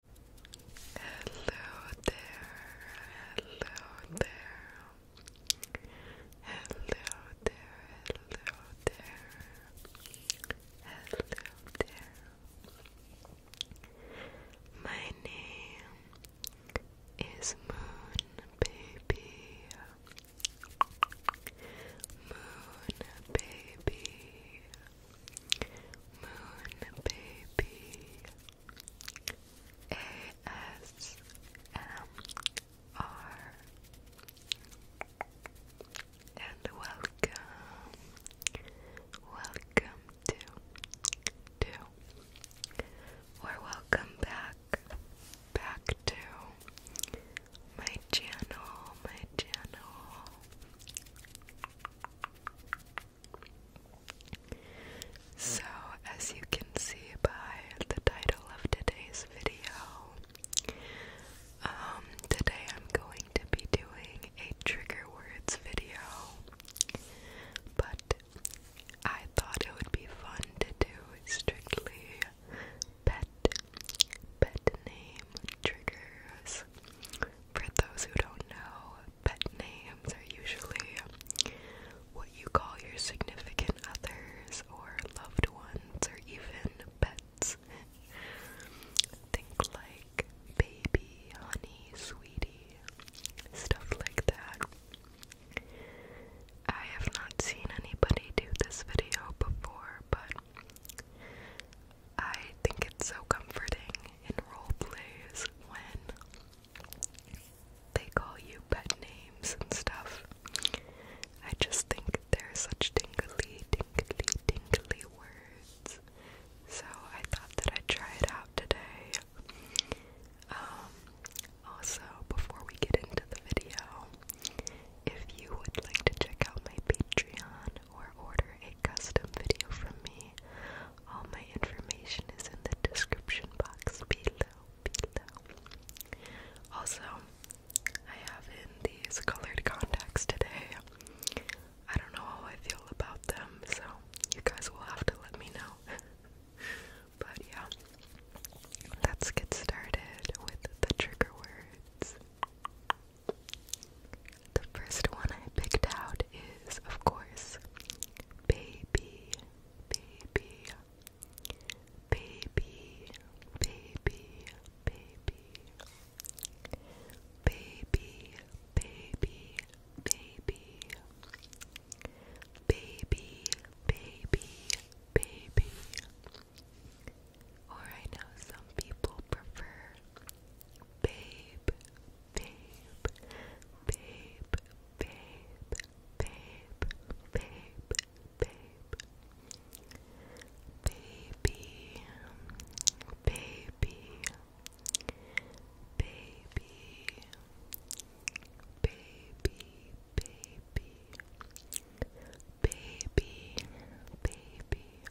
Hello there, hello there, hello there, hello there, hello there. My name is Moon Baby, Moon Baby. Moon Baby ASMR and welcome, welcome to, to, or welcome back, back to my channel, my channel. So, as you can see by the title of today's video, um, today I'm going to be doing a trigger words video, but I thought it would be fun to do strictly pet, pet name triggers. For those who don't know, pet names are usually what you call your significant others or loved ones or even pets. Think like baby, honey, sweetie, stuff like that. I have not seen anybody do this video before, but I think it's so comforting in role plays when they call you pet names and stuff. I just think they're such tingly, tingly, tingly words. So I thought that I'd try it out today. Um, also, before we get into the video, if you would like to check out my Patreon, or order a custom video from me, all my information is in the description box below. below. Also, I have in these colored contacts today. I don't know how I feel about them, so you guys will have to let me know. but yeah, let's get started with the trigger words. The first one I picked out is, of course, baby, baby, baby, baby, baby, baby, baby, baby, baby, baby, baby. Or I know some people prefer babe, babe, babe, babe, babe, babe, babe, baby, baby, baby, baby, baby. Baby, baby,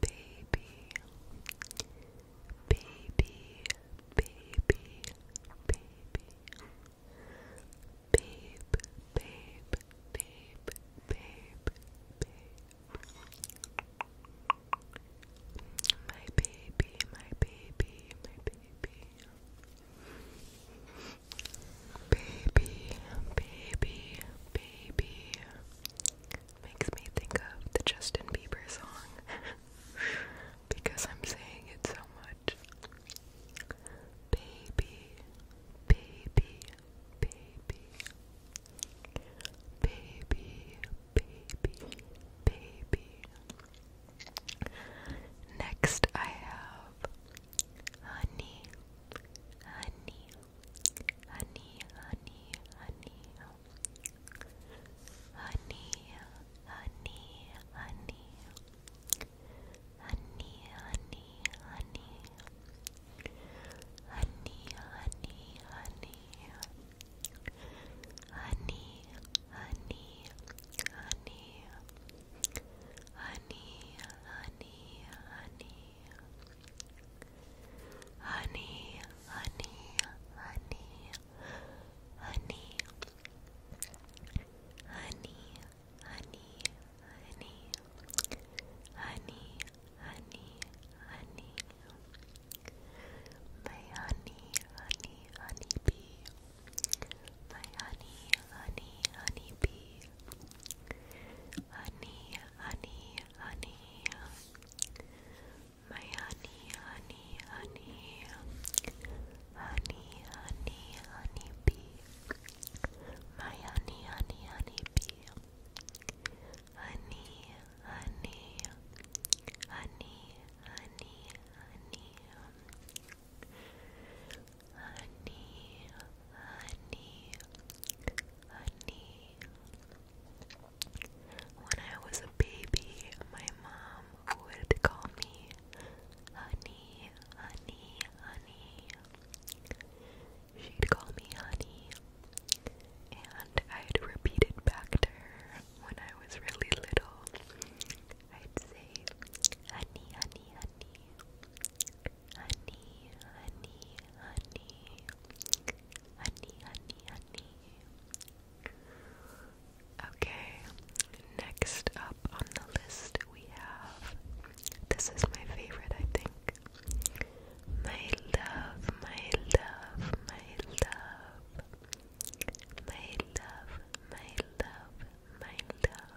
baby, baby, baby, baby, babe, babe, babe, babe, babe, my baby, my baby, my baby. Baby, baby, baby, makes me think of the Justin Bieber song because I'm saying it so much. Baby, baby, baby, baby, baby, baby. Next, I have honey, honey, honey, honey, honey, honey, honey, honey, honey, honey, honey, honey, honey, honey, honey, honey, honey, honey, honey, honey honey, honey, honey, honey, honey, honey, honey, honey, honey, honey, my honey, honey, honey bee, my honey, honey, honey bee honey, honey, honey. My honey, honey, honey. Honey, honey, honey bee. My honey, honey, honey bee. Honey, honey, honey, honey, honey. Honey, honey, honey. When I was a baby, my mom would call me honey, honey, honey. She'd call me honey, and I'd repeat it back to her when I was really little. I'd say, honey, honey, honey, honey, honey, honey, honey, honey, honey. Okay, next up on the list we have this is my favorite, I think. My love, my love, my love. My love, my love, my love.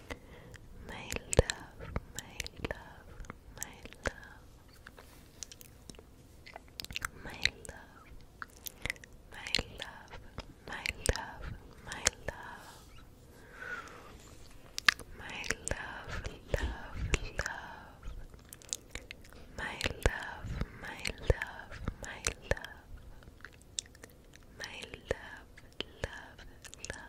My love, my love, my love. My love, my love, my love, my love. My love, love, love. My love, my love, my love. My love, love, love.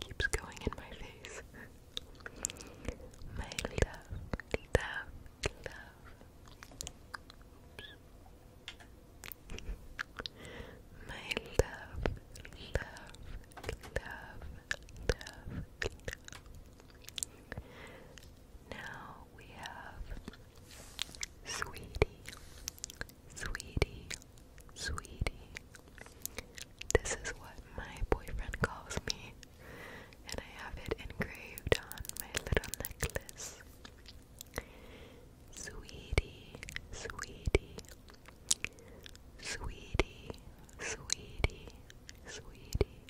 keeps going in my face. my love, love, love. my love, love, love, love. Now we have Sweetie, Sweetie, sweetie. This is what my boyfriend calls me, and I have it engraved on my little necklace. Sweetie, sweetie. Sweetie, sweetie, sweetie.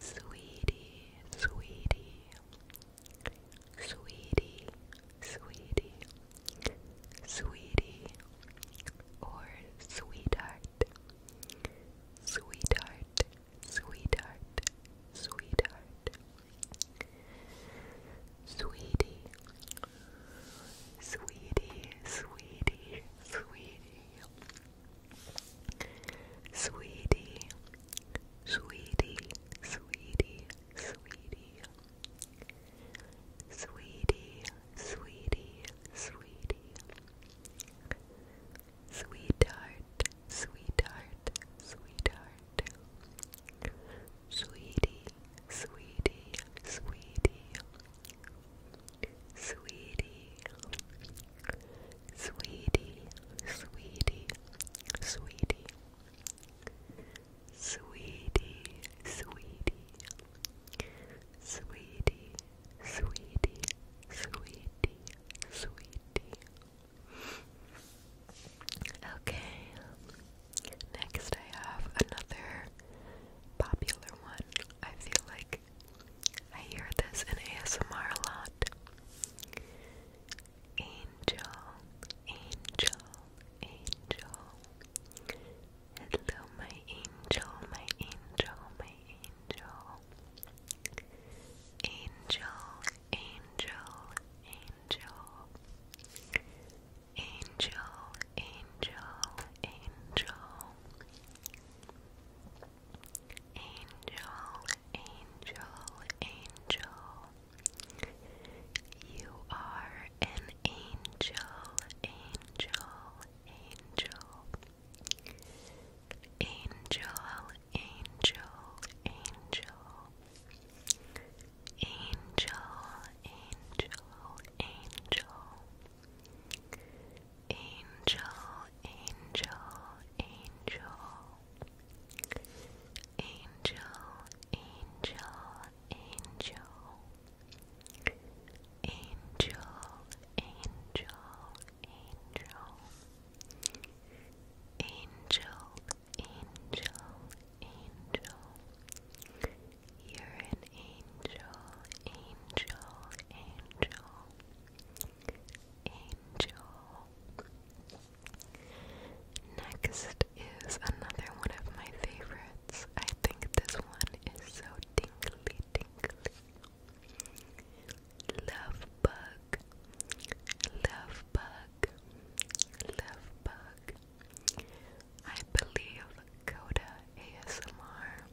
Sweetie, sweetie sweetie, sweetie, sweetie, or sweetheart, sweetheart, sweetheart, sweetheart, sweetie, sweetie, sweetie, sweetie. Sweetie, sweetie, sweetie, sweetie, sweetie, sweetie, sweetie, sweetheart, sweetheart, sweetheart, sweetie, sweetie, sweetie, sweetie, sweetie, sweetie, sweetie. Sweetie, sweetie, sweetie, sweetie, sweetie, sweetie. Okay, next I have another popular one. I feel like I hear this in ASMR a lot. Angel, angel, angel. Hello, my angel, my angel, my angel. Angel, angel, angel. Angel, angel, angel. Angel, Angel, angel, you are an angel, angel, angel, angel, angel, angel, angel, angel, angel. Angel, Angel, angel, angel. Angel, angel, angel. Angel, angel, angel. You're an angel, angel, angel. Angel. Next is another one of my favorites. I think this one is so dinkly dinkly. Love bug, love bug, love bug. I believe Coda ASMR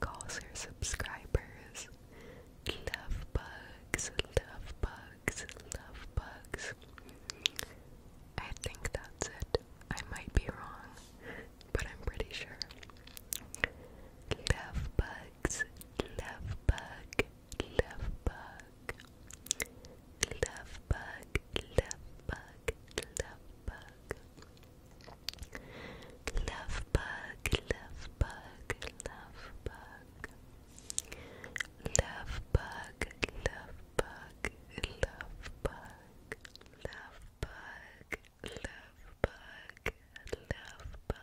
calls her subscribers Love bugs, love bugs, love bugs. I think that's it. I might be wrong, but I'm pretty sure. Love bugs, love bug, love bug. Love bug, love bug, love bug. Love love bug, love bug, love bug. Love bug, love bug, love bug. Love bug, love bug, love bug.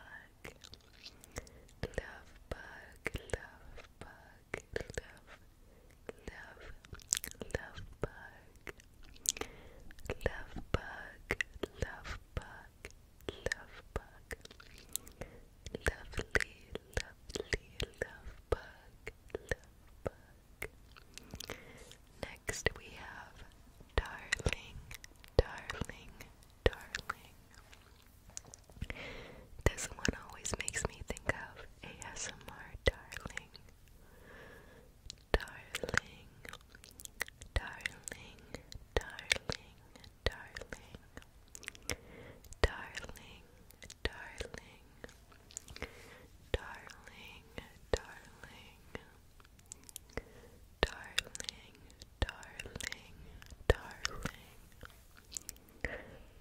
Love bug, love bug, love, love, love bug. Love bug, love bug, love bug. Lovely, lovely love bug. Love bug. Next we have darling, darling, darling. This one always makes me think of ASMR darling. Darling, darling, darling, darling, darling, darling, darling, darling. Darling, darling, darling.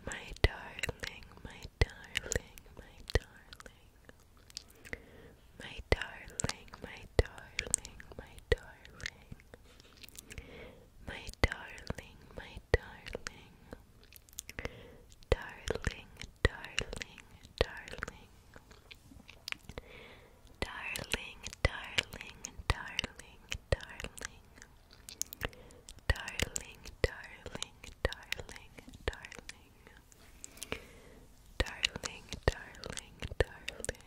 My darling, my darling, my darling my darling, my darling, my darling, my darling, my darling, darling, darling, darling, darling, darling, darling, darling. Darling, darling, darling, darling. Darling, darling, darling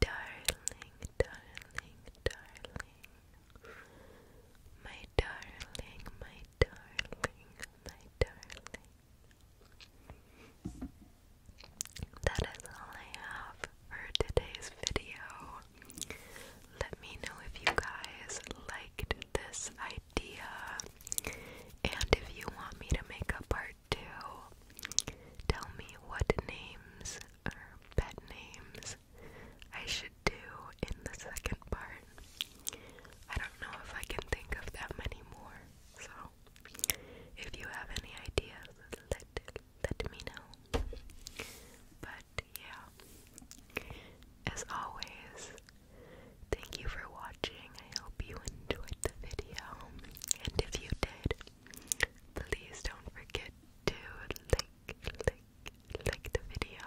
darling, darling, darling. My darling, my darling, my darling. That is all I have for today's video. Let me know if you guys liked this idea and if you want me to make a part 2. Tell me what names pet names I should do in the second part. I don't know if I can think of that many more, so if you have any ideas, let let me know. But yeah, as always, thank you for watching. I hope you enjoyed the video, and if you did, Please don't forget to like, like, like the video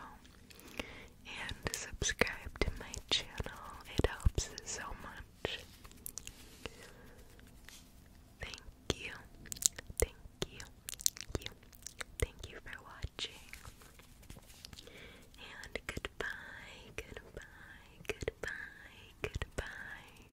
and subscribe to my channel. It helps so much. Thank you. Thank you. Thank you. for watching. And goodbye, goodbye, goodbye, goodbye.